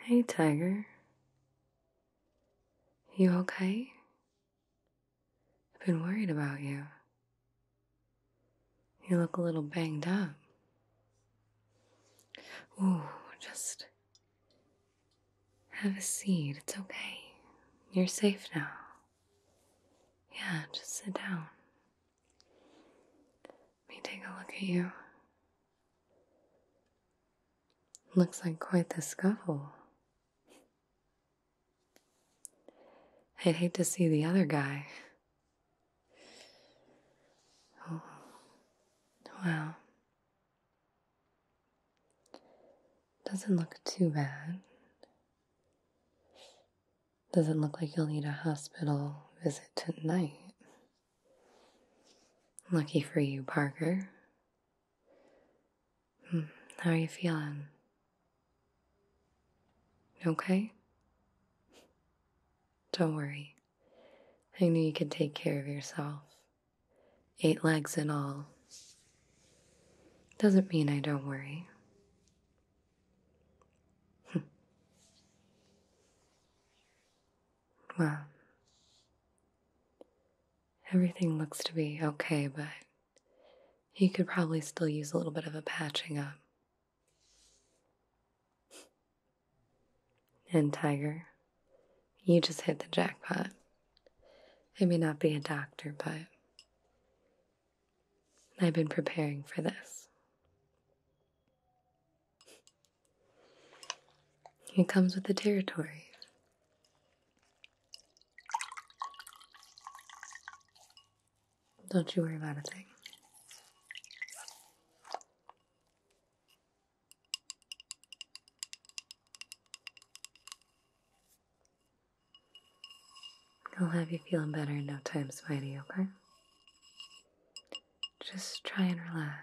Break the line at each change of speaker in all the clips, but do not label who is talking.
Hey, Tiger. You okay? I've been worried about you. You look a little banged up. Ooh, just have a seat. It's okay. You're safe now. Yeah, just sit down. Let me take a look at you. Looks like quite the scuffle. I'd hate to see the other guy. Oh, Doesn't look too bad. Doesn't look like you'll need a hospital visit tonight. Lucky for you, Parker. Hmm, how are you feeling? Okay? Don't worry. I knew you could take care of yourself. Eight legs in all. Doesn't mean I don't worry. well, everything looks to be okay, but you could probably still use a little bit of a patching up. And Tiger, you just hit the jackpot. I may not be a doctor, but I've been preparing for this. It comes with the territory. Don't you worry about a thing. I'll have you feeling better in no time, Spidey, okay? Just try and relax.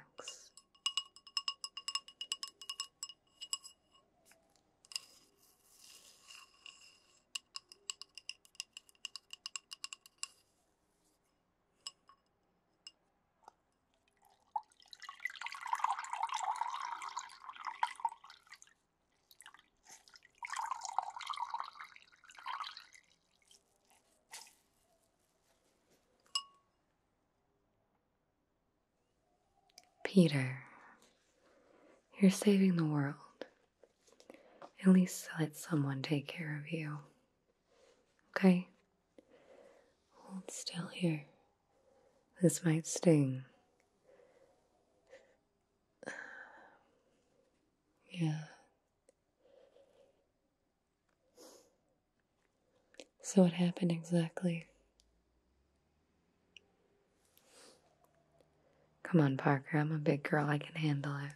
Peter, you're saving the world. At least let someone take care of you. Okay? Hold still here. This might sting. Yeah. So, what happened exactly? Come on, Parker, I'm a big girl, I can handle it.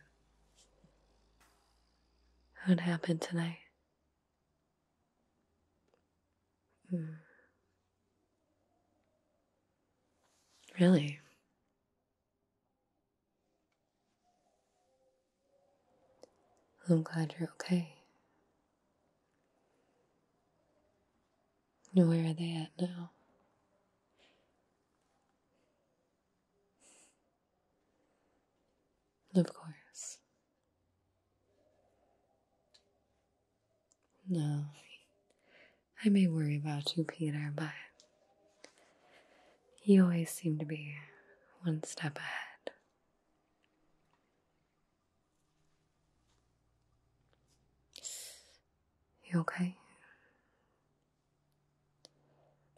What happened tonight? Hmm. Really? I'm glad you're okay. Where are they at now? Of course. No, I may worry about you, Peter, but you always seem to be one step ahead. You okay?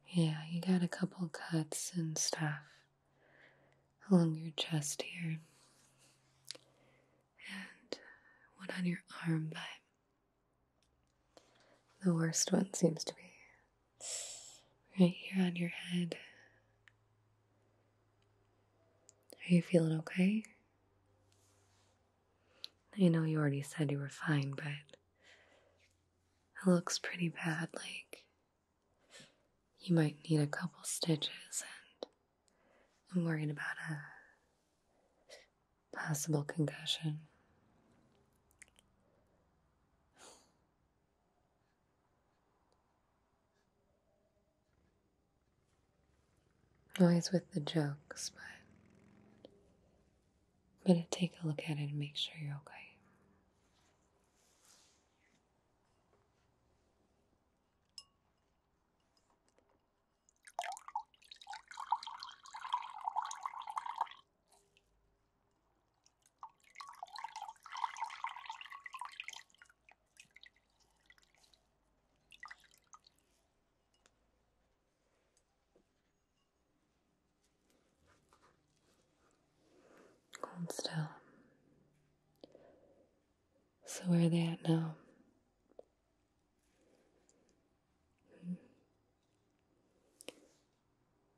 Yeah, you got a couple cuts and stuff along your chest here and one on your arm, but the worst one seems to be right here on your head. Are you feeling okay? I know you already said you were fine, but it looks pretty bad. Like you might need a couple stitches and I'm worried about a possible concussion. Always with the jokes, but I'm gonna take a look at it and make sure you're okay. Hold still. So, where are they at now?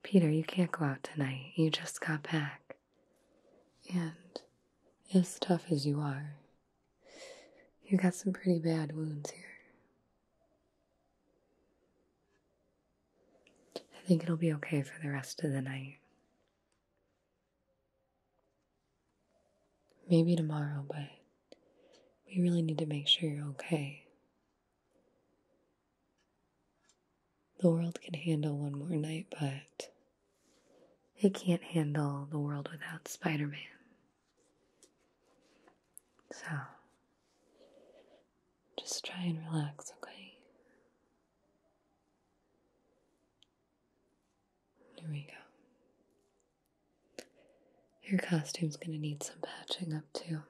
Peter, you can't go out tonight. You just got back. And as tough as you are, you got some pretty bad wounds here. I think it'll be okay for the rest of the night. Maybe tomorrow, but we really need to make sure you're okay. The world can handle one more night, but it can't handle the world without Spider Man. So, just try and relax, okay? Here we go. Your costume's gonna need some patching up too.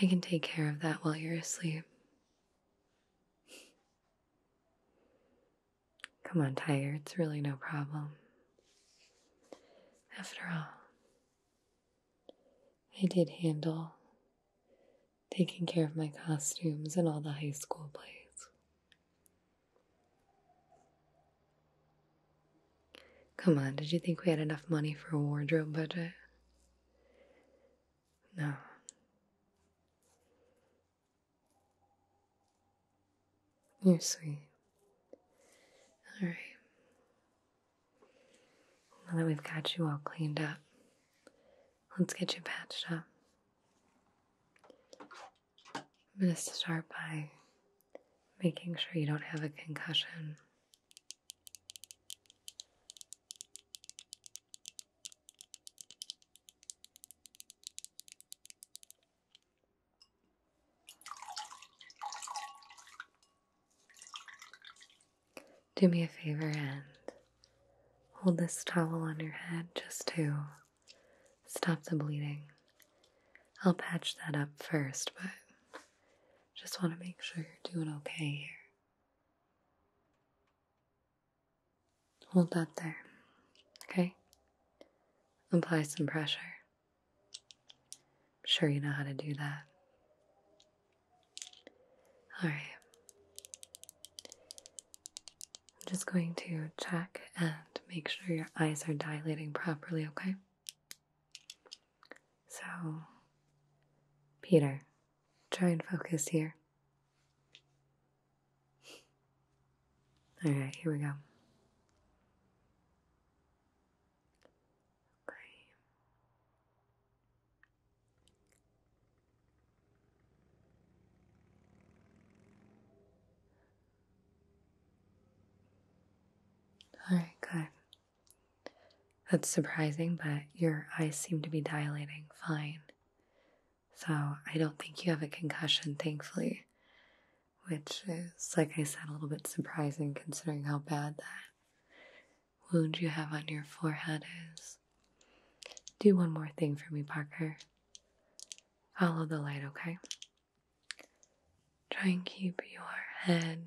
I can take care of that while you're asleep. Come on, Tiger, it's really no problem. After all, I did handle taking care of my costumes and all the high school plays. Come on, did you think we had enough money for a wardrobe budget? No. You're sweet. All right. Now that we've got you all cleaned up, let's get you patched up. I'm going to start by making sure you don't have a concussion. Do me a favor and hold this towel on your head just to Stop the bleeding. I'll patch that up first, but just want to make sure you're doing okay here. Hold that there, okay? Apply some pressure. I'm sure you know how to do that. Alright. I'm just going to check and make sure your eyes are dilating properly, okay? So, Peter, try and focus here. All right, here we go. Okay. All right, good. That's surprising, but your eyes seem to be dilating fine. So I don't think you have a concussion, thankfully, which is, like I said, a little bit surprising considering how bad that wound you have on your forehead is. Do one more thing for me, Parker. Follow the light, okay? Try and keep your head,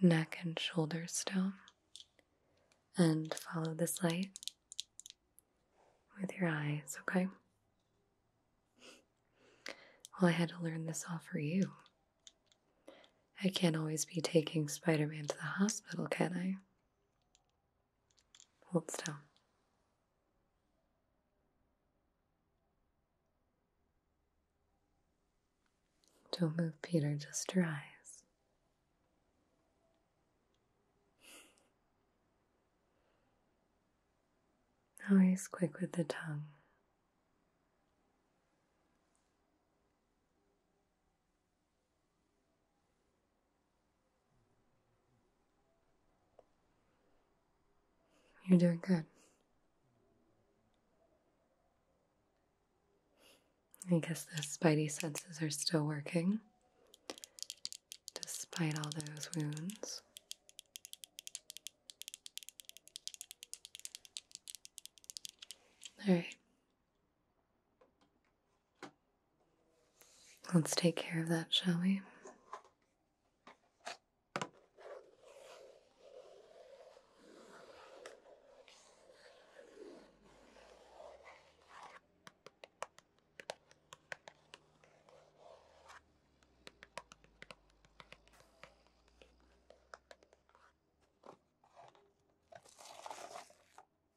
neck, and shoulders still. And follow this light with your eyes, okay? Well, I had to learn this all for you. I can't always be taking Spider Man to the hospital, can I? Hold still. Don't move, Peter, just your eyes. Always quick with the tongue. You're doing good. I guess the spidey senses are still working, despite all those wounds. All right. Let's take care of that, shall we?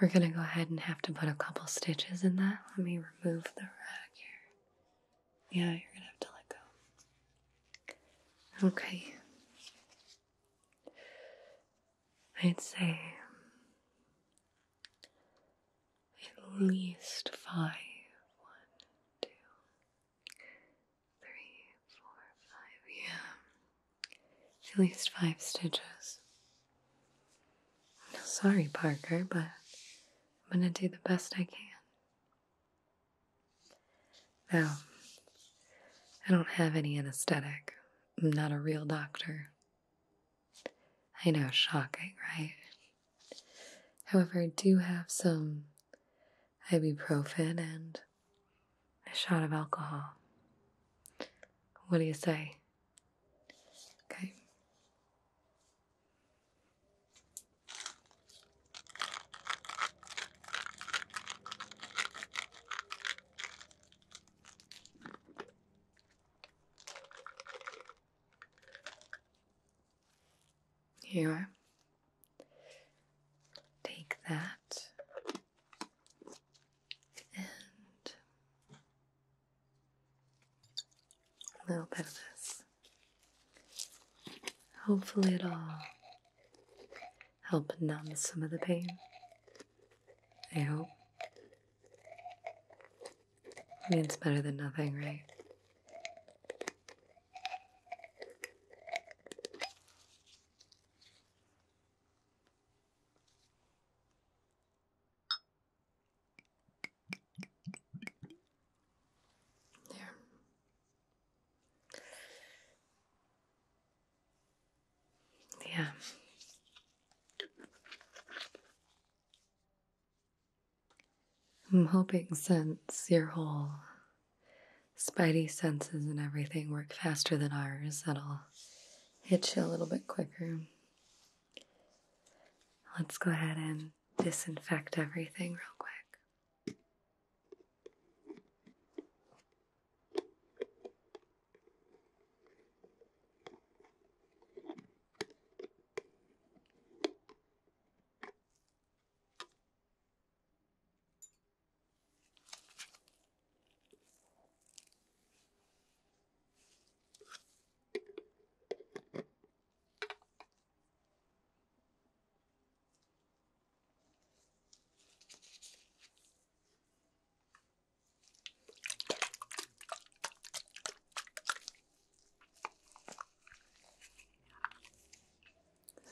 we're gonna go ahead and have to put a couple stitches in that. Let me remove the rag here. Yeah, you're gonna have to let go. Okay. I'd say at least five. One, two, three, four, five. Yeah at least five stitches. Sorry, Parker, but I'm gonna do the best I can. Now, I don't have any anesthetic. I'm not a real doctor. I know, shocking, right? However, I do have some ibuprofen and a shot of alcohol. What do you say? Okay. Here Take that and a little bit of this. Hopefully, it'll help numb some of the pain. I hope. I mean, it's better than nothing, right? Yeah. I'm hoping since your whole spidey senses and everything work faster than ours, that'll hit you a little bit quicker. Let's go ahead and disinfect everything real quick.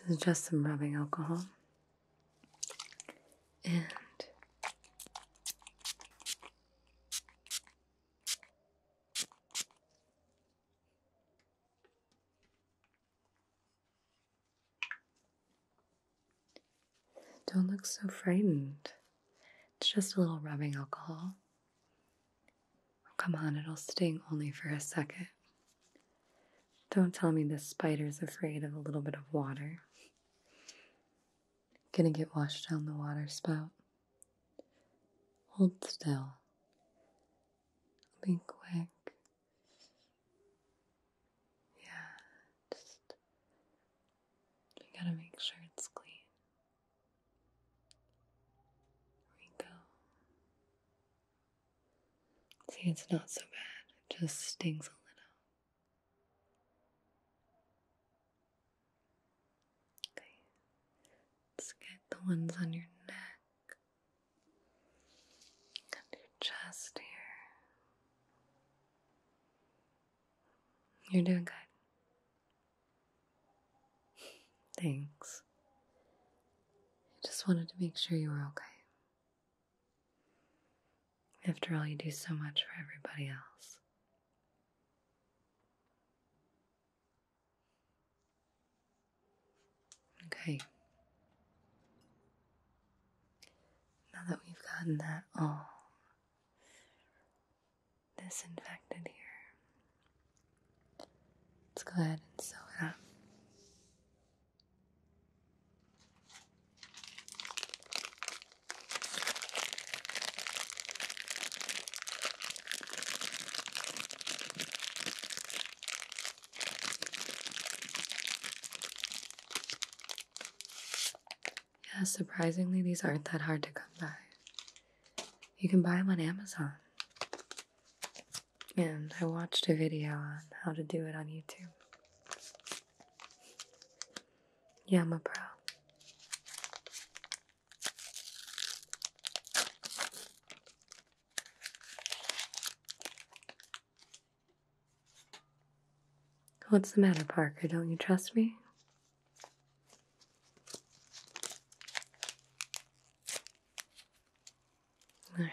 This is just some rubbing alcohol and don't look so frightened. It's just a little rubbing alcohol. come on, it'll sting only for a second. Don't tell me this spider's afraid of a little bit of water. Gonna get washed down the water spout. Hold still. Be quick. Yeah, just. We gotta make sure it's clean. There we go. See, it's not so bad. It just stings a little let's get the ones on your neck and your chest here. You're doing good. Thanks. I just wanted to make sure you were okay. After all, you do so much for everybody else. Okay. Now that we've gotten that all disinfected here, let's go ahead and sew it up. Yeah, surprisingly, these aren't that hard to come by. You can buy them on Amazon. And I watched a video on how to do it on YouTube. Yeah, my bro. What's the matter, Parker? Don't you trust me? All right.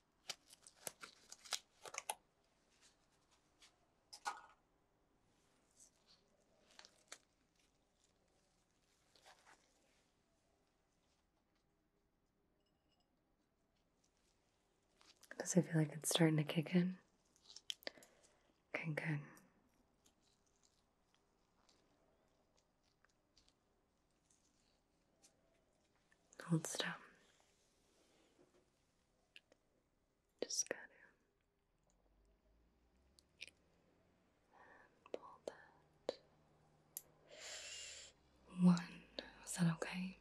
Does it feel like it's starting to kick in? Okay, good. Hold still. Just gotta pull that one. Is that okay?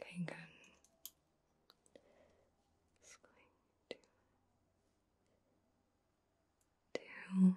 Okay, good. Just going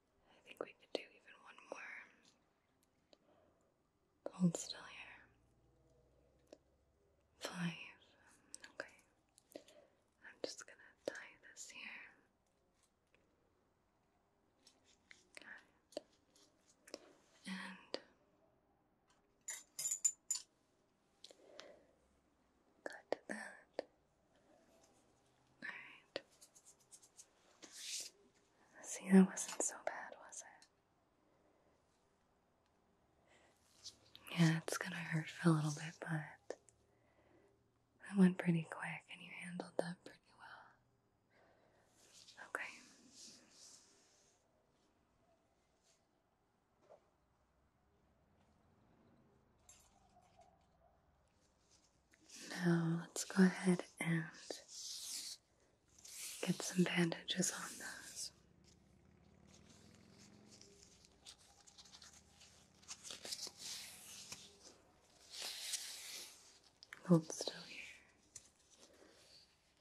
I think we could do even one more. Hold still here. Five. Okay. I'm just gonna tie this here. Got And cut that. See, that wasn't so bad, was it? Yeah, it's gonna hurt for a little bit, but it went pretty quick and you handled that pretty well. Okay. Now let's go ahead and get some bandages on those. Hold still here.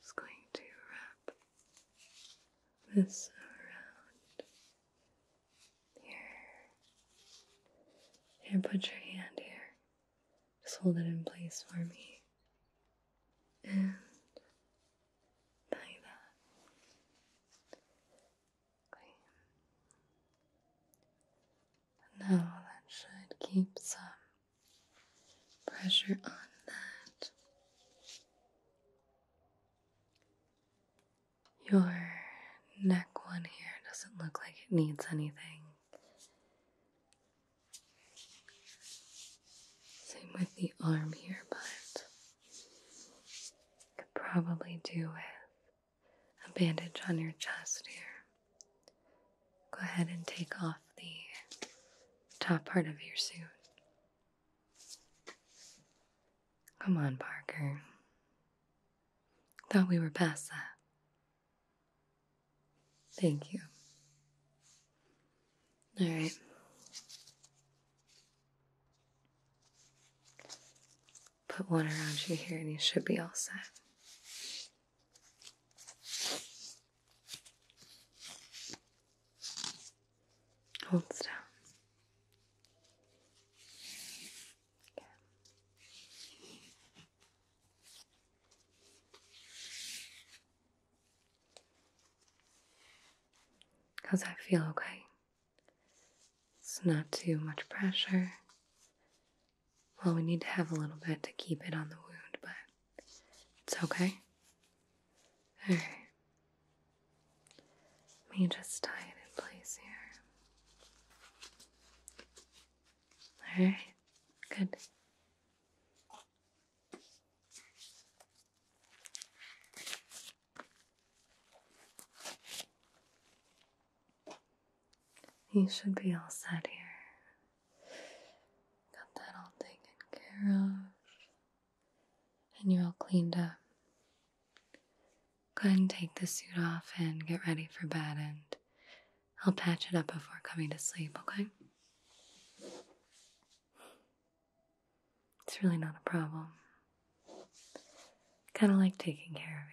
Just going to wrap this around here. And put your hand here. Just hold it in place for me. And tie that. Now that should keep some pressure on that. Your neck one here doesn't look like it needs anything. Same with the arm here, but could probably do with a bandage on your chest here. Go ahead and take off the top part of your suit. Come on, Parker. Thought we were past that. Thank you. All right. Put one around you here and you should be all set. Hold still. Okay. Cause I feel? Okay. It's not too much pressure. Well, we need to have a little bit to keep it on the wound, but it's okay. Alright. Let me just tie it in place here. All right, good. You should be all set here. Got that all taken care of. And you're all cleaned up. Go ahead and take the suit off and get ready for bed and I'll patch it up before coming to sleep, okay? It's really not a problem. Kind of like taking care of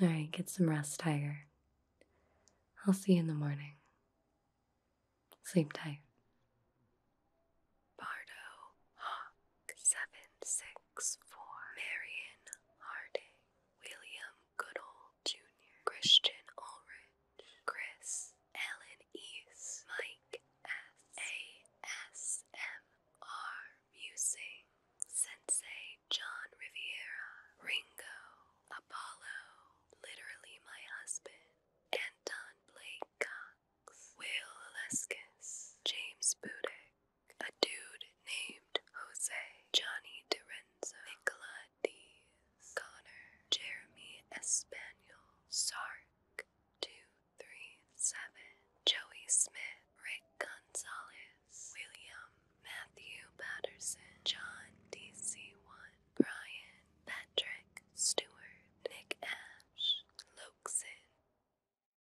you. Alright, get some rest, Tiger. I'll see you in the morning. Sleep tight. Bardo Hawk 7 6 books for Marion Harding, William Goodall Jr., Christian Ulrich, Chris, Ellen East, Mike S. You Musing, Sensei John Riviera, Ringo, Apollo, Literally My Husband, Anton Blake Cox, Will Aleskis, James Budick, a dude named Jose, Johnny DiRenzo, Nicola Dees, Connor, Jeremy Espaniel, Sark, 237, Joey Smith, Rick Gonzalez, William, Matthew Patterson, John DC1, Brian, Patrick Stewart, Nick Ash, Lokeson.